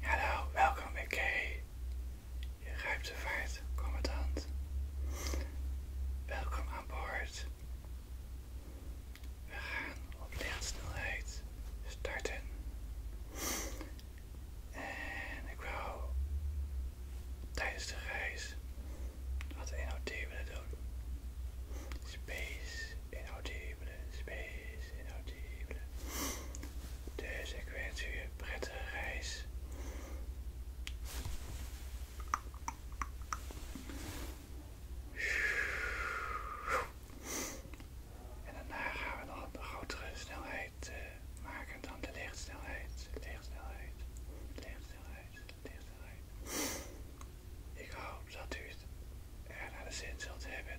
Hallo, welkom bij K. Je ruikt Welkom aan boord. We gaan op lichtsnelheid starten. En ik wou tijdens de reis wat NOT willen doen. Space inaudibele space, inaudibele. Dus ik prettige reis. En daarna gaan we nog een grotere snelheid eh, maken dan de lichtsnelheid. Lichtsnelheid. Lichtsnelheid. Lichtsnelheid. Ik hoop dat u het er naar de zin zult hebben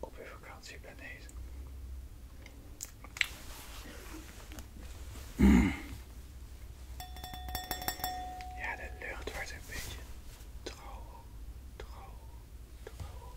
op uw vakantieplaneet. Ja, de lucht wordt een beetje droog, droog, droog.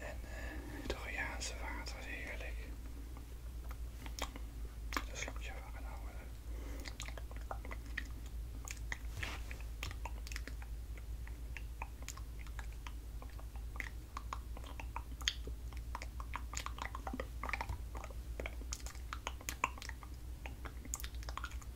En uh, het Royaanse water is heerlijk. Een je wel genomen.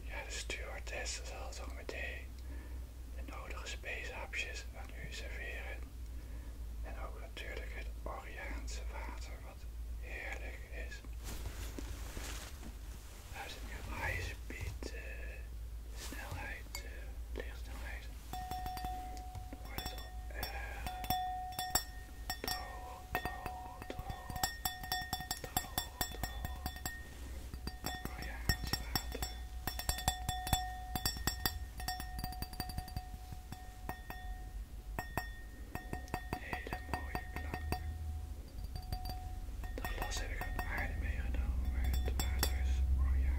Ja, de stewardess zal toch meteen de nodige speeshapjes aan u serveren. En ook natuurlijk het Oriaanse water, wat heerlijk is. Daar zit nu op high snelheid, lichtsnelheid. Dan wordt het al uh, droog, droog, droog, droog, Hele mooie klank. Dat las heb ik uit aarde meegenomen, maar het water is... Oh ja.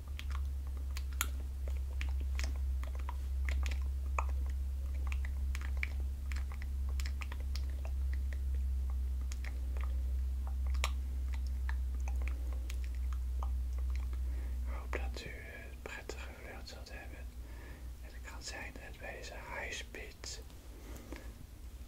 Ik hoop dat u het prettige vlucht zult hebben. het kan zijn dat bij deze high speed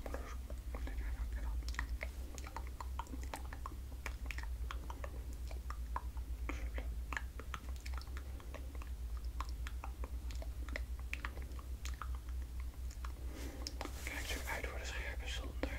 Kijk zo uit voor de scherpe zonder.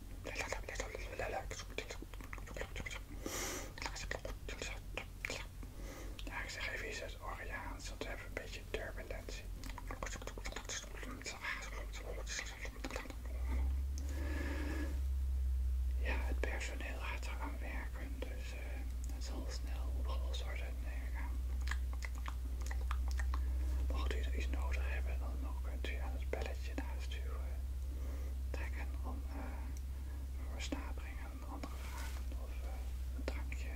Ja, ik zeg even iets uit Oriaans, want we hebben een beetje turbulentie. Ja, het personeel gaat eraan werken, dus eh, het zal snel opgelost worden, Mocht u er iets nodig hebben, dan kunt u aan het bellen dat naar huis sturen, trekken om uh, een versnapering, een andere vragen of eh, een drankje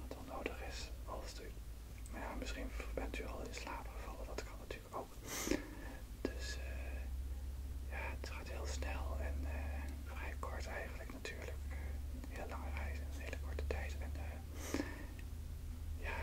wat onnodig is. Als u, maar ja, misschien bent u al in slaap gevallen, dat kan natuurlijk ook. Dus eh, ja, het gaat heel snel en vrij kort eigenlijk natuurlijk. Een hele lange reis in een hele korte tijd. En, ja,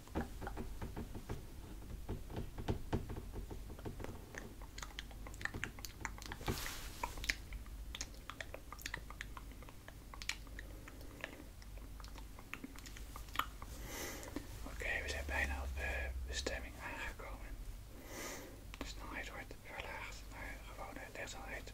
Oké, we zijn bijna op eh, de bestemming aangekomen. De snelheid wordt verlaagd naar gewone lichtsnelheid.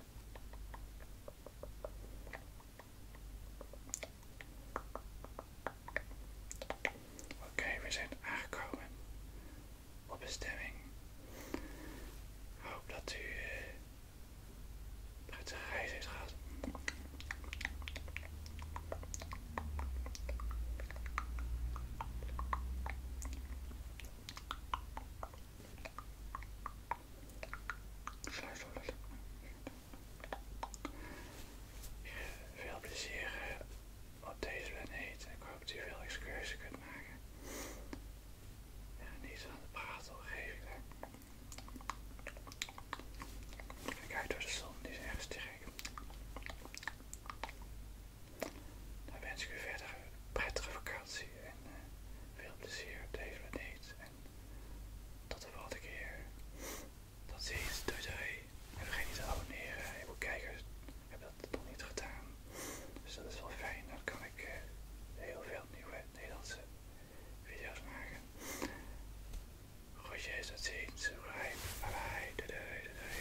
Oké, we zijn aangekomen op bestemming. Ik hoop dat u prettige eh, uh, reis heeft gehad. Sluit Veel plezier op deze planeet. Ik hoop dat je veel excursie kunt maken. niet aan de praten geef ik Kijk uit door de zon, die is erg sterk. Dan wens ik u verder een prettige vakantie en eh, veel plezier op deze planeet. En tot de volgende keer. Tot ziens. Doei doei. En vergeet niet te abonneren. Heel veel kijkers hebben dat nog niet gedaan. Dus dat is wel fijn. Dan kan ik eh, heel veel nieuwe Nederlandse video's maken. Groetjes, tot ziens. Bye bye. Doei doei. doei, doei.